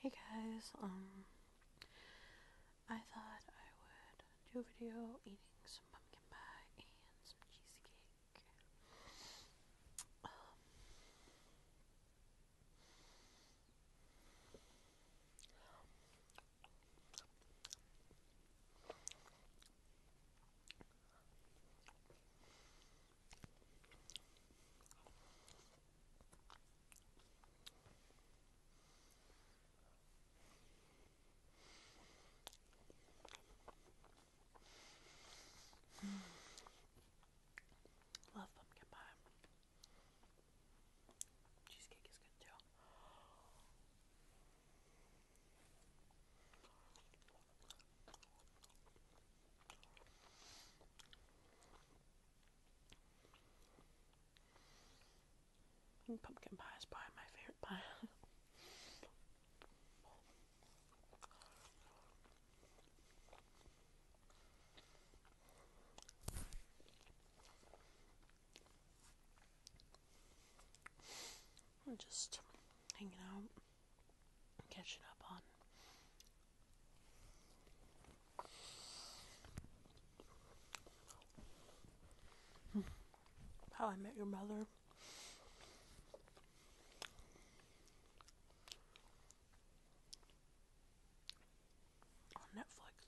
Hey guys, um, I thought I would do a video eating some pumpkin pie and some cheesecake. Um, Love pumpkin pie. Cheesecake is good too. I think pumpkin pie is probably my favorite pie. I'm just hanging out, catching up on how I Met Your Mother. On Netflix.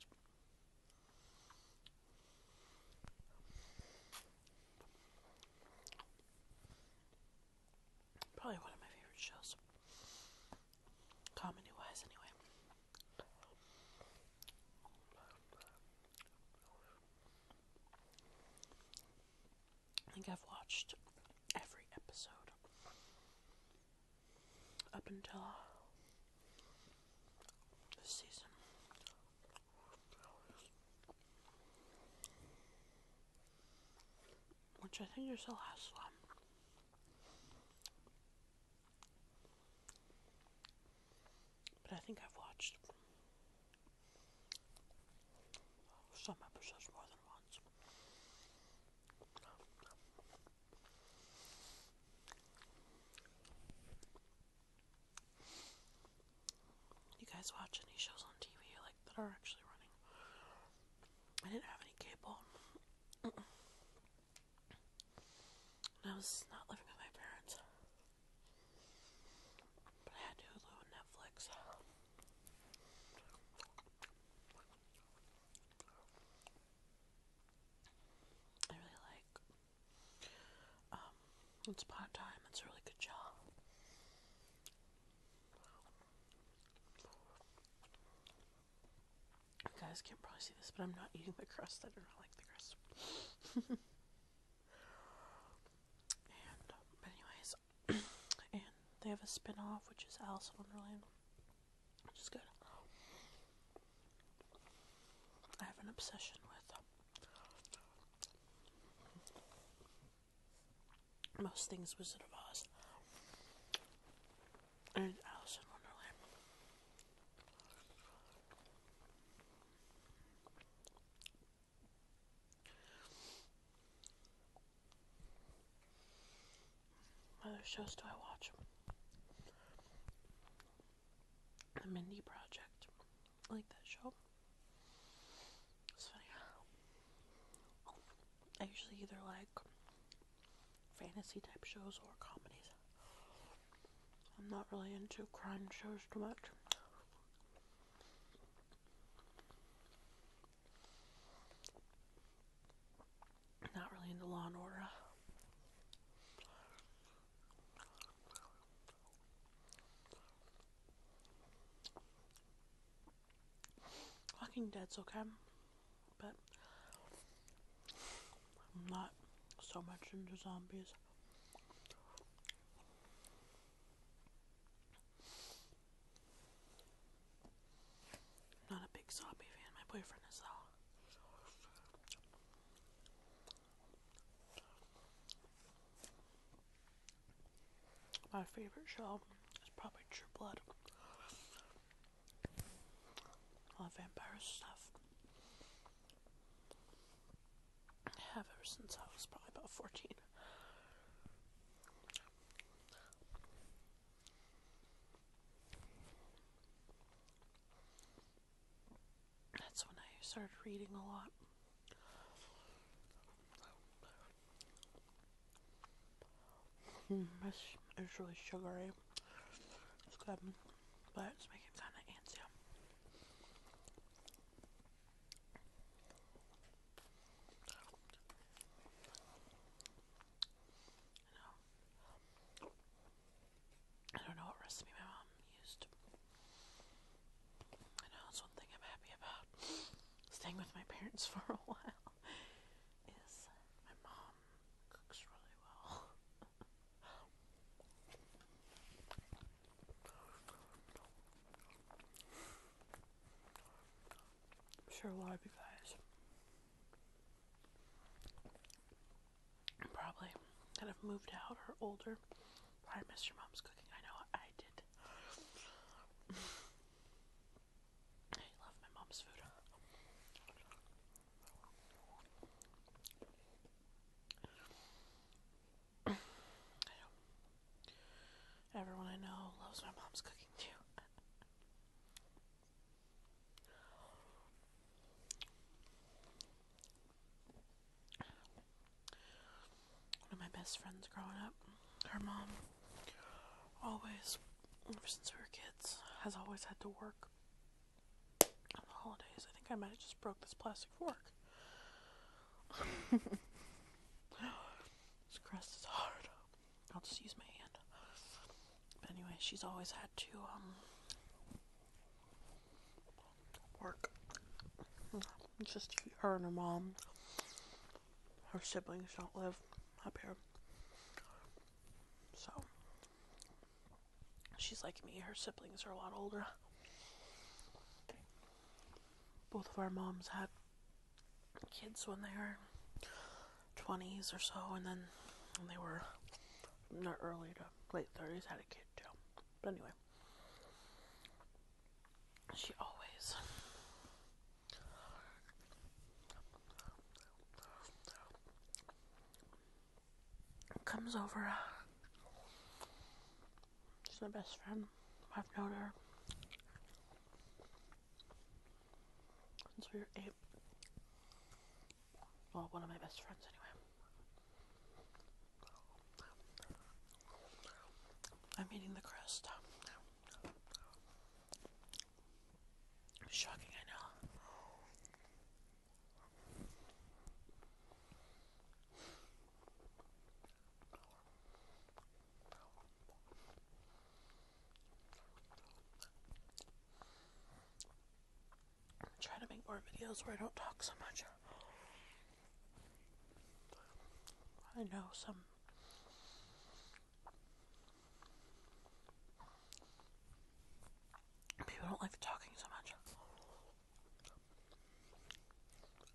Probably one of my favorite shows. Comedy wise, anyway. I think I've watched every episode up until uh, this season which I think is the last one. But I think I've watched some episodes more than once. You guys watch any shows on TV like that are actually running? I didn't have any cable. I was not living with my parents. But I had Hulu Netflix. I really like um it's pot time, it's a really good job. You guys can't probably see this, but I'm not eating the crust. I do not like the crust. but um, anyways, and they have a spin-off, which is Alice in Wonderland, which is good. I have an obsession with um, most things Wizard of Oz and Alice in Wonderland. other shows do I watch? The Mindy Project. I like that show. It's funny. I usually either like fantasy type shows or comedies. I'm not really into crime shows too much. Not really into Law and Order. Walking Dead's okay, but I'm not so much into zombies. not a big zombie fan, my boyfriend is though. My favorite show is probably True Blood. All vampire stuff. I have ever since I was probably about 14. That's when I started reading a lot. Hmm, this is really sugary. It's good, but it's making kind of antsy. I don't know what recipe my mom used. I know that's one thing I'm happy about staying with my parents for a while is my mom cooks really well. I'm sure a lot of you guys probably that have moved out or older I missed your mom's cooking. I know I did. I love my mom's food. Everyone I know loves my mom's cooking too. One of my best friends growing up, her mom always, ever since we were kids, has always had to work on the holidays. I think I might have just broke this plastic fork. this crust is hard. I'll just use my hand. anyway, she's always had to um work. just her and her mom her siblings don't live up here. So she's like me, her siblings are a lot older. Both of our moms had kids when they were 20s or so, and then they were not early to late 30s, had a kid too. But anyway, she always. comes over. She's my best friend. I've known her since we were eight. Well, one of my best friends, anyway. I'm eating the crust. Shocking, I know. Try to make more videos where I don't talk so much. I know some people don't like talking so much.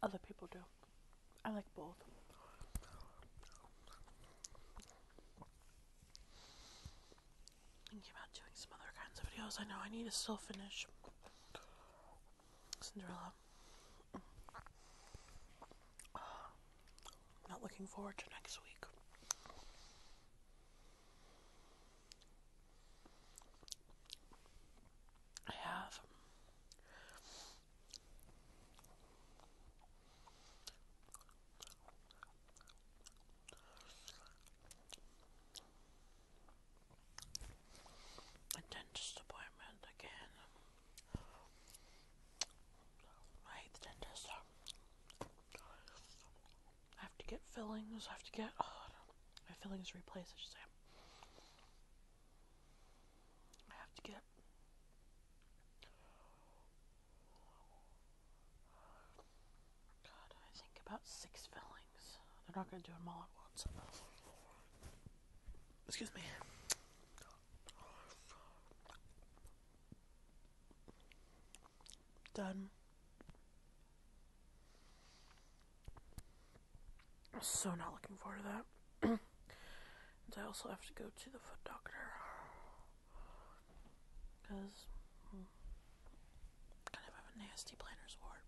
Other people do. I like both. Thinking about doing some other kinds of videos. I know I need to still finish Cinderella. not looking forward to next week. I have a dentist appointment again. I hate the I have to get fillings. I have to get oh, my fillings replaced. I I have to get God. I think about six fillings. They're not going to do them all at once. Excuse me. Done. So not looking forward to that. I also have to go to the foot doctor. Because hmm, kind of have a nasty planner's wart.